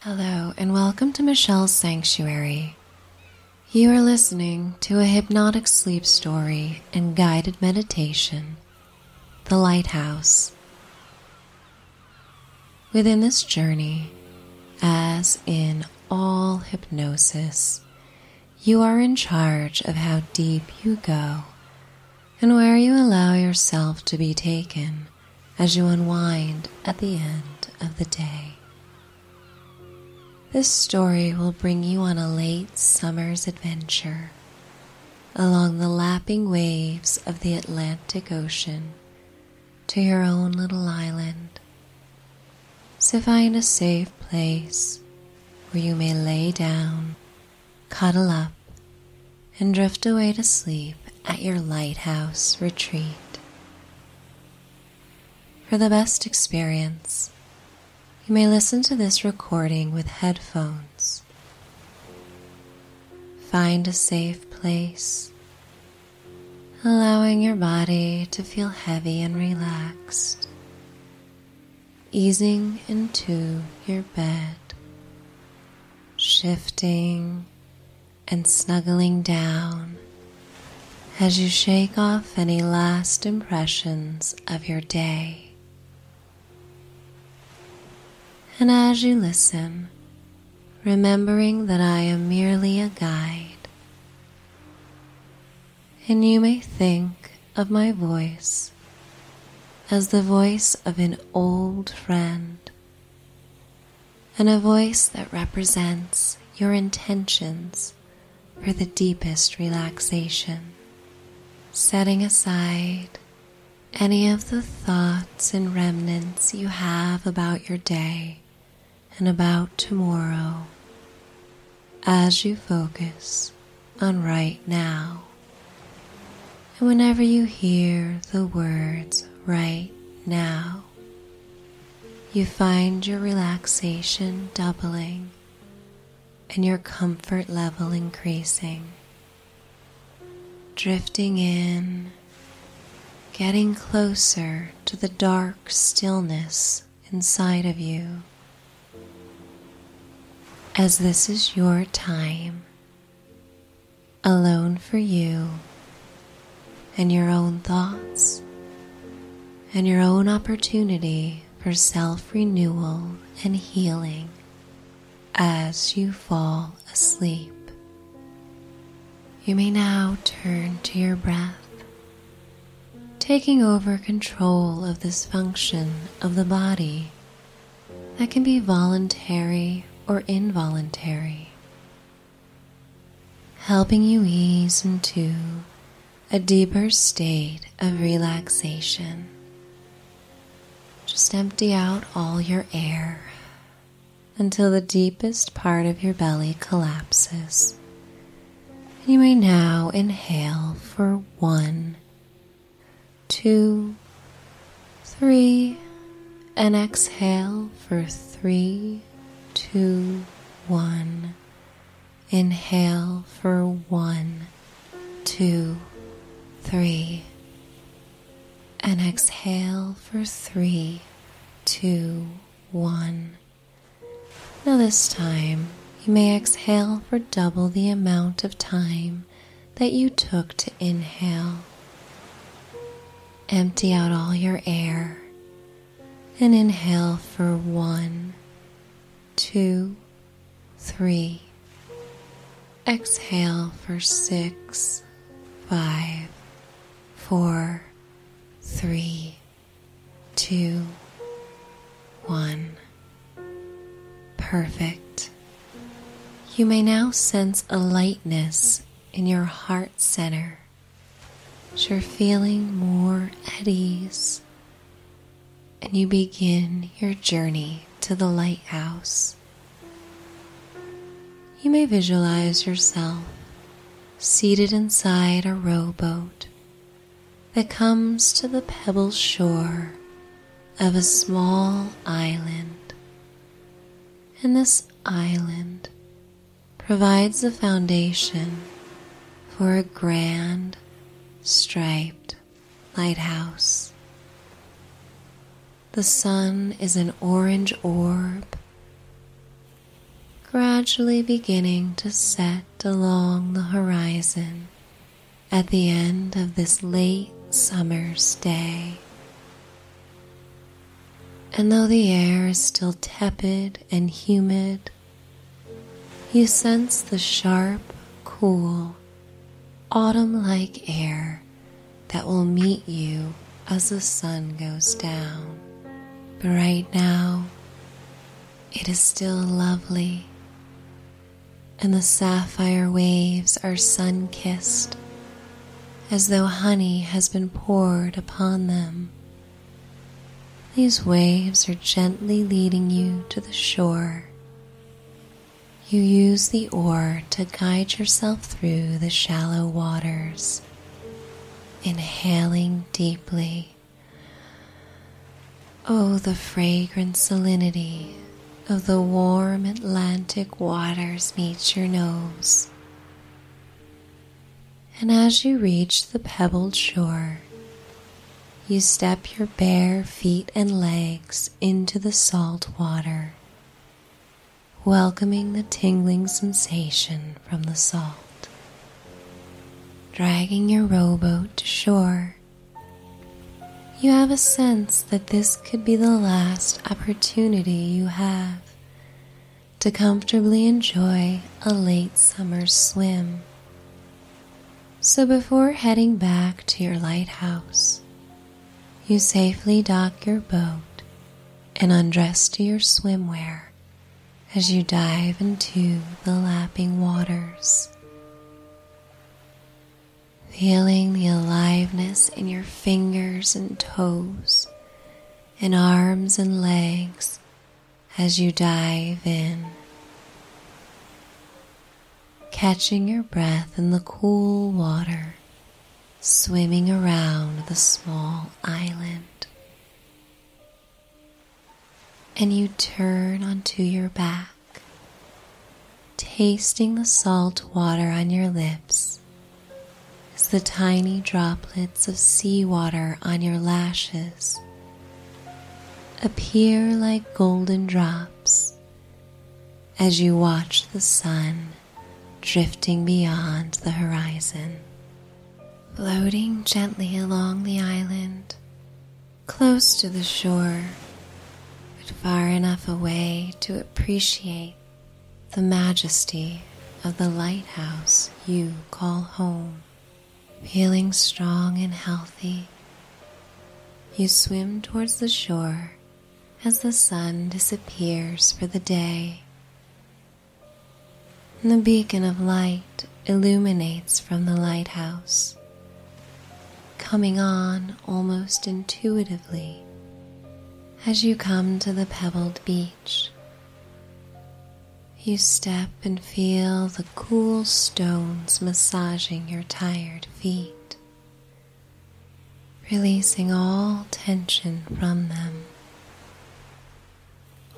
Hello, and welcome to Michelle's Sanctuary. You are listening to a hypnotic sleep story and guided meditation, The Lighthouse. Within this journey, as in all hypnosis, you are in charge of how deep you go and where you allow yourself to be taken as you unwind at the end of the day. This story will bring you on a late summer's adventure along the lapping waves of the Atlantic Ocean to your own little island. So find a safe place where you may lay down, cuddle up, and drift away to sleep at your lighthouse retreat. For the best experience, you may listen to this recording with headphones. Find a safe place, allowing your body to feel heavy and relaxed, easing into your bed, shifting and snuggling down as you shake off any last impressions of your day. And as you listen, remembering that I am merely a guide, and you may think of my voice as the voice of an old friend and a voice that represents your intentions for the deepest relaxation, setting aside any of the thoughts and remnants you have about your day and about tomorrow as you focus on right now. And whenever you hear the words right now, you find your relaxation doubling and your comfort level increasing, drifting in, getting closer to the dark stillness inside of you. As this is your time, alone for you and your own thoughts and your own opportunity for self renewal and healing as you fall asleep. You may now turn to your breath, taking over control of this function of the body that can be voluntary or involuntary helping you ease into a deeper state of relaxation. Just empty out all your air until the deepest part of your belly collapses. You may now inhale for one, two, three, and exhale for three, two, one. Inhale for one, two, three, and exhale for three, two, one. Now, this time, you may exhale for double the amount of time that you took to inhale. Empty out all your air and inhale for one, two, three. Exhale for six, five, four, three, two, one. Perfect. You may now sense a lightness in your heart center so you're feeling more at ease and you begin your journey to the lighthouse. You may visualize yourself seated inside a rowboat that comes to the pebble shore of a small island and this island provides the foundation for a grand striped lighthouse. The sun is an orange orb, gradually beginning to set along the horizon at the end of this late summer's day. And though the air is still tepid and humid, you sense the sharp, cool, autumn like air that will meet you as the sun goes down. But right now, it is still lovely, and the sapphire waves are sun kissed as though honey has been poured upon them. These waves are gently leading you to the shore. You use the oar to guide yourself through the shallow waters, inhaling deeply. Oh, the fragrant salinity of the warm Atlantic waters meets your nose and as you reach the pebbled shore, you step your bare feet and legs into the salt water, welcoming the tingling sensation from the salt. Dragging your rowboat to shore, you have a sense that this could be the last opportunity you have to comfortably enjoy a late summer swim. So before heading back to your lighthouse, you safely dock your boat and undress to your swimwear as you dive into the lapping waters. Feeling the aliveness in your fingers and toes in arms and legs as you dive in, catching your breath in the cool water swimming around the small island. And you turn onto your back, tasting the salt water on your lips as the tiny droplets of seawater on your lashes appear like golden drops as you watch the sun drifting beyond the horizon. Floating gently along the island, close to the shore, but far enough away to appreciate the majesty of the lighthouse you call home. Feeling strong and healthy, you swim towards the shore as the sun disappears for the day. the beacon of light illuminates from the lighthouse, coming on almost intuitively as you come to the pebbled beach you step and feel the cool stones massaging your tired feet, releasing all tension from them.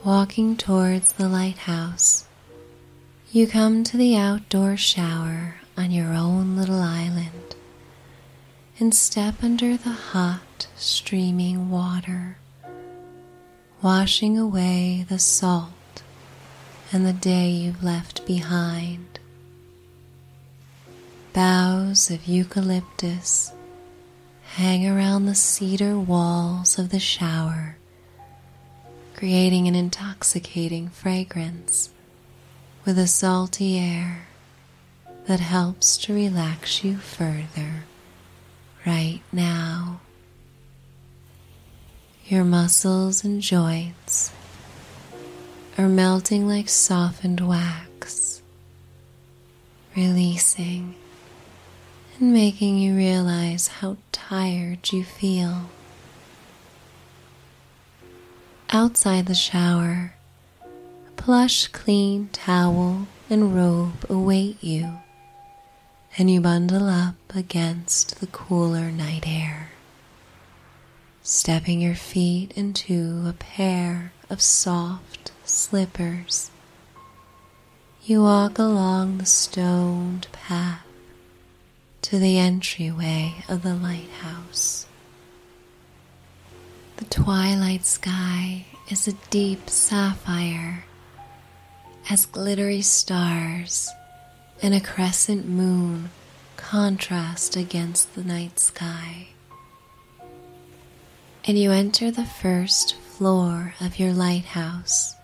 Walking towards the lighthouse, you come to the outdoor shower on your own little island and step under the hot, streaming water, washing away the salt and the day you've left behind. Boughs of eucalyptus hang around the cedar walls of the shower, creating an intoxicating fragrance with a salty air that helps to relax you further right now. Your muscles and joints are melting like softened wax, releasing and making you realize how tired you feel. Outside the shower, a plush, clean towel and robe await you, and you bundle up against the cooler night air, stepping your feet into a pair of soft slippers. You walk along the stoned path to the entryway of the lighthouse. The twilight sky is a deep sapphire, as glittery stars and a crescent moon contrast against the night sky. And you enter the first floor of your lighthouse,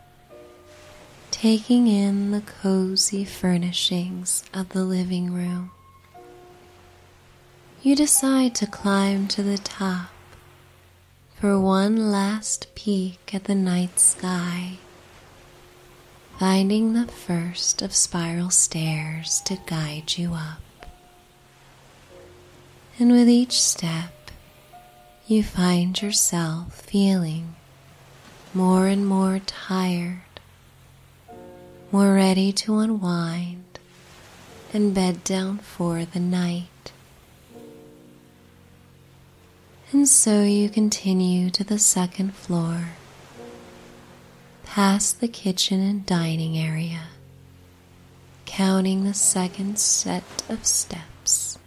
taking in the cozy furnishings of the living room. You decide to climb to the top for one last peek at the night sky, finding the first of spiral stairs to guide you up. And with each step, you find yourself feeling more and more tired, more ready to unwind and bed down for the night. And so you continue to the second floor, past the kitchen and dining area, counting the second set of steps.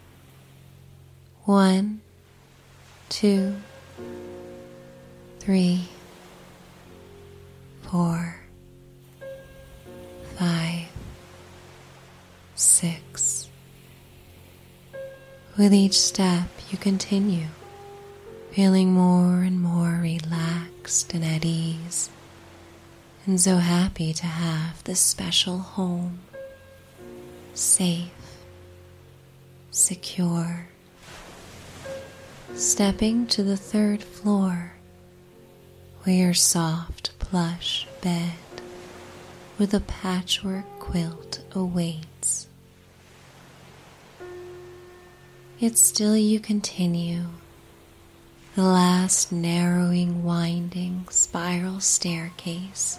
One, two, three, four five, six. With each step, you continue, feeling more and more relaxed and at ease, and so happy to have this special home, safe, secure. Stepping to the third floor where your soft plush bed with a patchwork quilt awaits. Yet still you continue the last narrowing, winding spiral staircase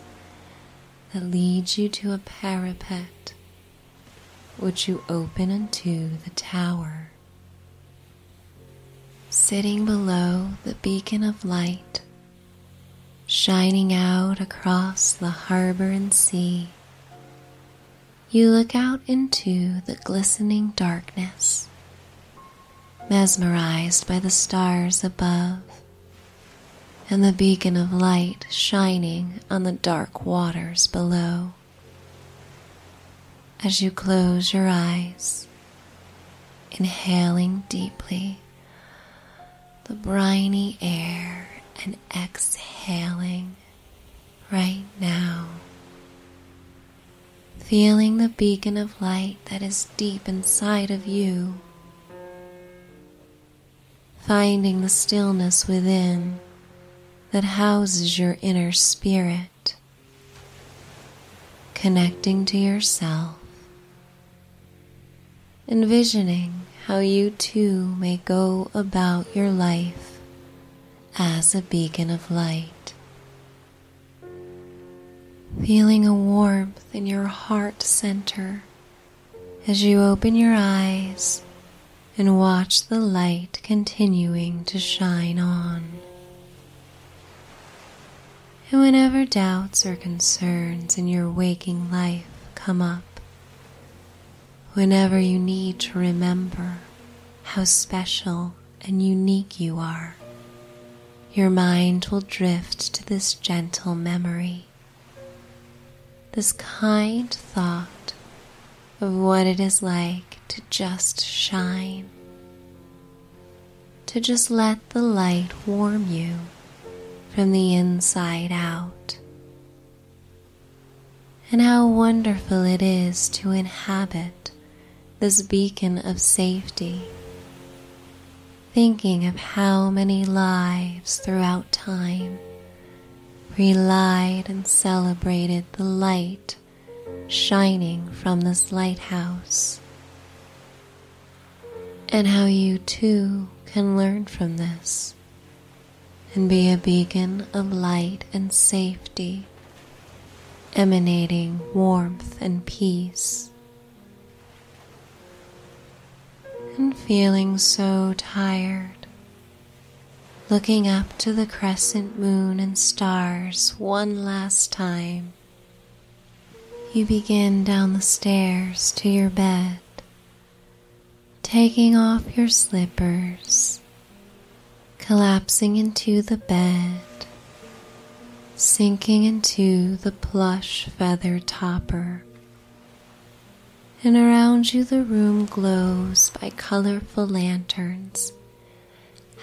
that leads you to a parapet which you open into the tower. Sitting below the beacon of light, shining out across the harbor and sea, you look out into the glistening darkness, mesmerized by the stars above and the beacon of light shining on the dark waters below as you close your eyes, inhaling deeply the briny air and exhaling right now. Feeling the beacon of light that is deep inside of you. Finding the stillness within that houses your inner spirit connecting to yourself, envisioning how you too may go about your life as a beacon of light. Feeling a warmth in your heart center as you open your eyes and watch the light continuing to shine on. And whenever doubts or concerns in your waking life come up, whenever you need to remember how special and unique you are, your mind will drift to this gentle memory, this kind thought of what it is like to just shine, to just let the light warm you from the inside out, and how wonderful it is to inhabit this beacon of safety. Thinking of how many lives throughout time relied and celebrated the light shining from this lighthouse, and how you too can learn from this and be a beacon of light and safety, emanating warmth and peace. And feeling so tired looking up to the crescent moon and stars one last time. You begin down the stairs to your bed, taking off your slippers, collapsing into the bed, sinking into the plush feather topper. And around you, the room glows by colorful lanterns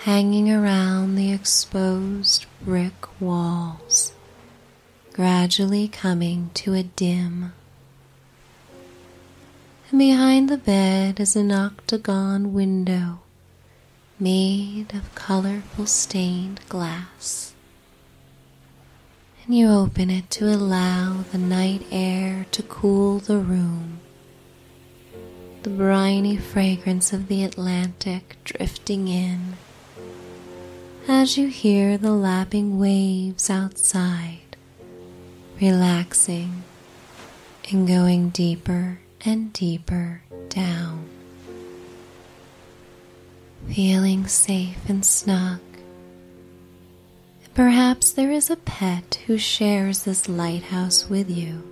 hanging around the exposed brick walls, gradually coming to a dim. And behind the bed is an octagon window made of colorful stained glass. And you open it to allow the night air to cool the room the briny fragrance of the Atlantic drifting in as you hear the lapping waves outside, relaxing and going deeper and deeper down. Feeling safe and snug. Perhaps there is a pet who shares this lighthouse with you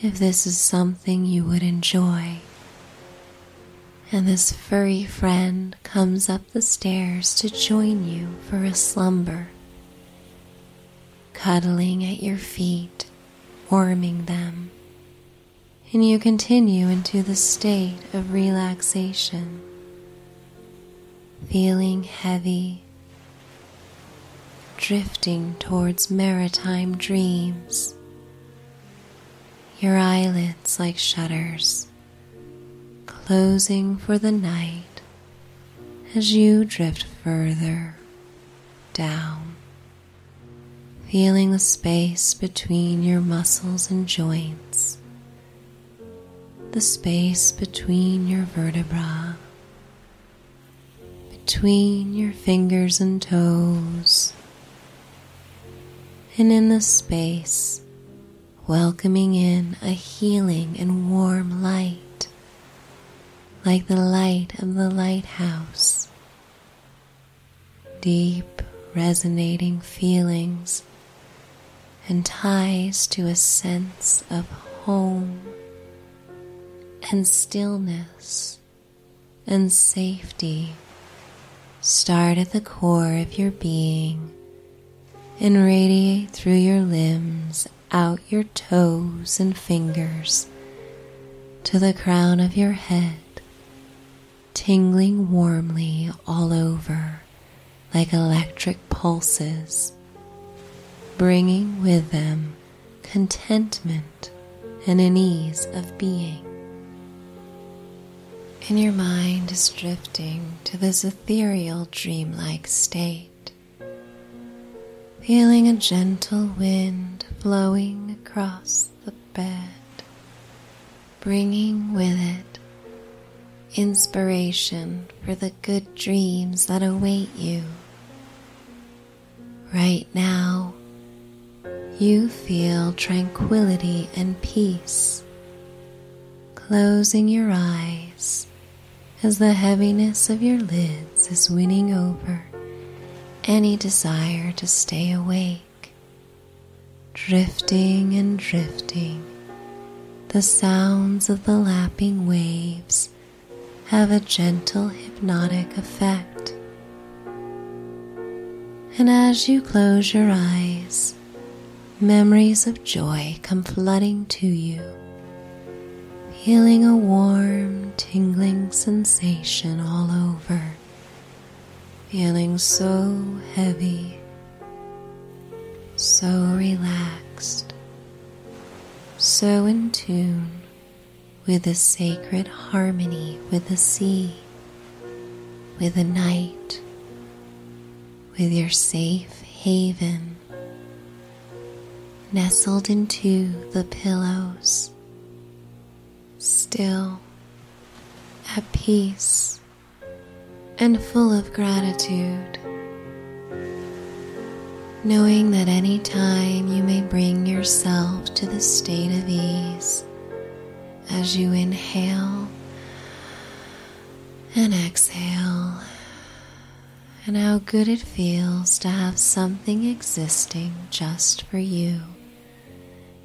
if this is something you would enjoy. And this furry friend comes up the stairs to join you for a slumber, cuddling at your feet, warming them, and you continue into the state of relaxation, feeling heavy drifting towards maritime dreams, your eyelids like shutters, closing for the night as you drift further down, feeling the space between your muscles and joints, the space between your vertebra between your fingers and toes, and in the space, welcoming in a healing and warm light, like the light of the lighthouse. Deep, resonating feelings and ties to a sense of home and stillness and safety start at the core of your being and radiate through your limbs, out your toes and fingers to the crown of your head, tingling warmly all over like electric pulses, bringing with them contentment, and an ease of being. And your mind is drifting to this ethereal, dreamlike state, feeling a gentle wind blowing across the bed, bringing with it inspiration for the good dreams that await you Right now, you feel tranquility and peace, closing your eyes as the heaviness of your lids is winning over any desire to stay awake, drifting and drifting. The sounds of the lapping waves have a gentle hypnotic effect. And as you close your eyes, memories of joy come flooding to you, feeling a warm, tingling sensation all over, feeling so heavy, so relaxed, so in tune with a sacred harmony with the sea, with the night, with your safe haven, nestled into the pillows, still at peace and full of gratitude knowing that any time you may bring yourself to the state of ease as you inhale and exhale, and how good it feels to have something existing just for you,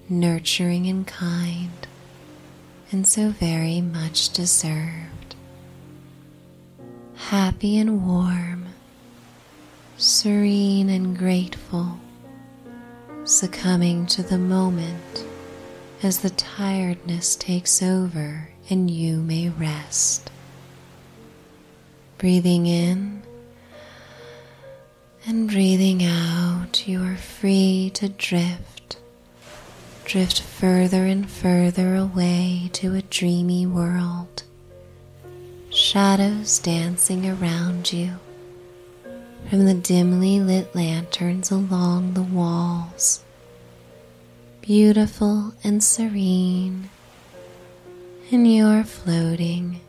nurturing and kind, and so very much deserved. Happy and warm serene and grateful, succumbing to the moment as the tiredness takes over and you may rest. Breathing in and breathing out, you are free to drift, drift further and further away to a dreamy world shadows dancing around you from the dimly lit lanterns along the walls, beautiful and serene, and you're floating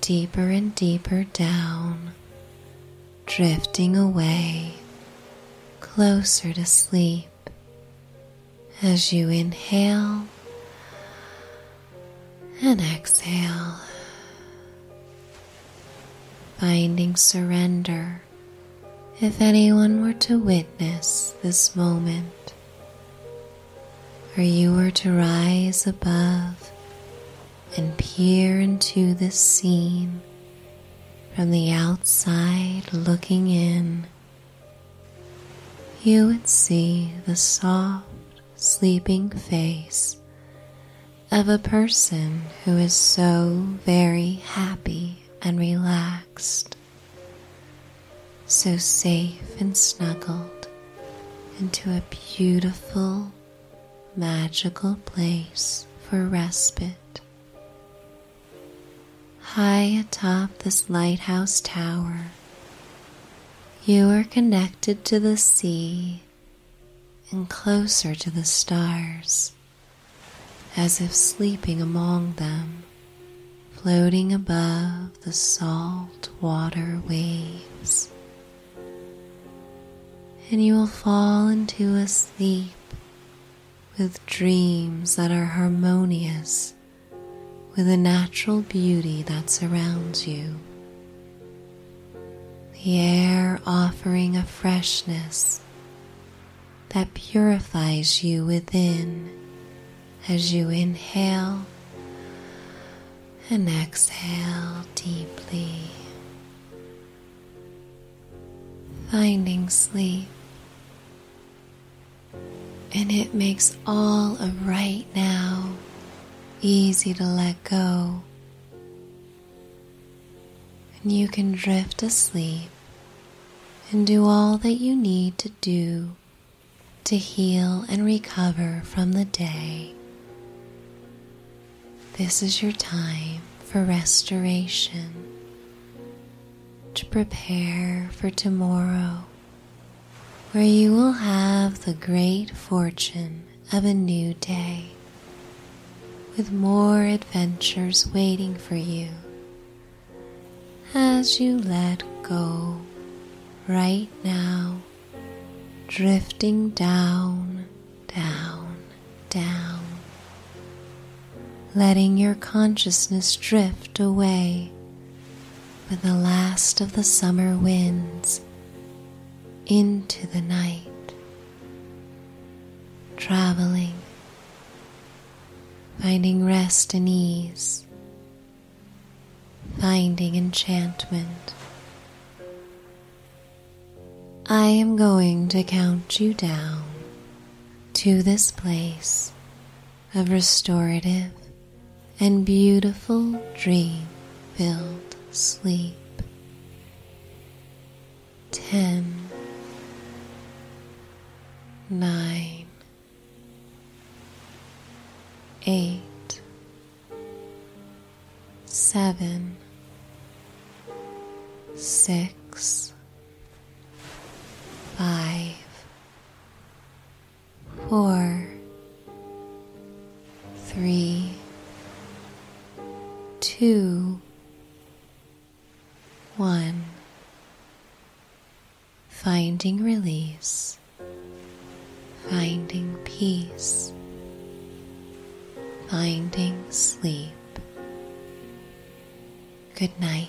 deeper and deeper down, drifting away closer to sleep as you inhale and exhale, finding surrender if anyone were to witness this moment, or you were to rise above and peer into this scene from the outside looking in you would see the soft, sleeping face of a person who is so very happy and relaxed, so safe and snuggled into a beautiful, magical place for respite High atop this lighthouse tower, you are connected to the sea and closer to the stars, as if sleeping among them, floating above the salt water waves. And you will fall into a sleep with dreams that are harmonious with the natural beauty that surrounds you. The air offering a freshness that purifies you within as you inhale and exhale deeply. Finding sleep and it makes all of right now easy to let go. And you can drift asleep and do all that you need to do to heal and recover from the day. This is your time for restoration, to prepare for tomorrow where you will have the great fortune of a new day with more adventures waiting for you as you let go right now, drifting down, down, down, letting your consciousness drift away with the last of the summer winds into the night, traveling, finding rest and ease, finding enchantment. I am going to count you down to this place of restorative and beautiful dream filled sleep. 10 four, three, two, one. Finding release, finding peace, finding sleep. Good night.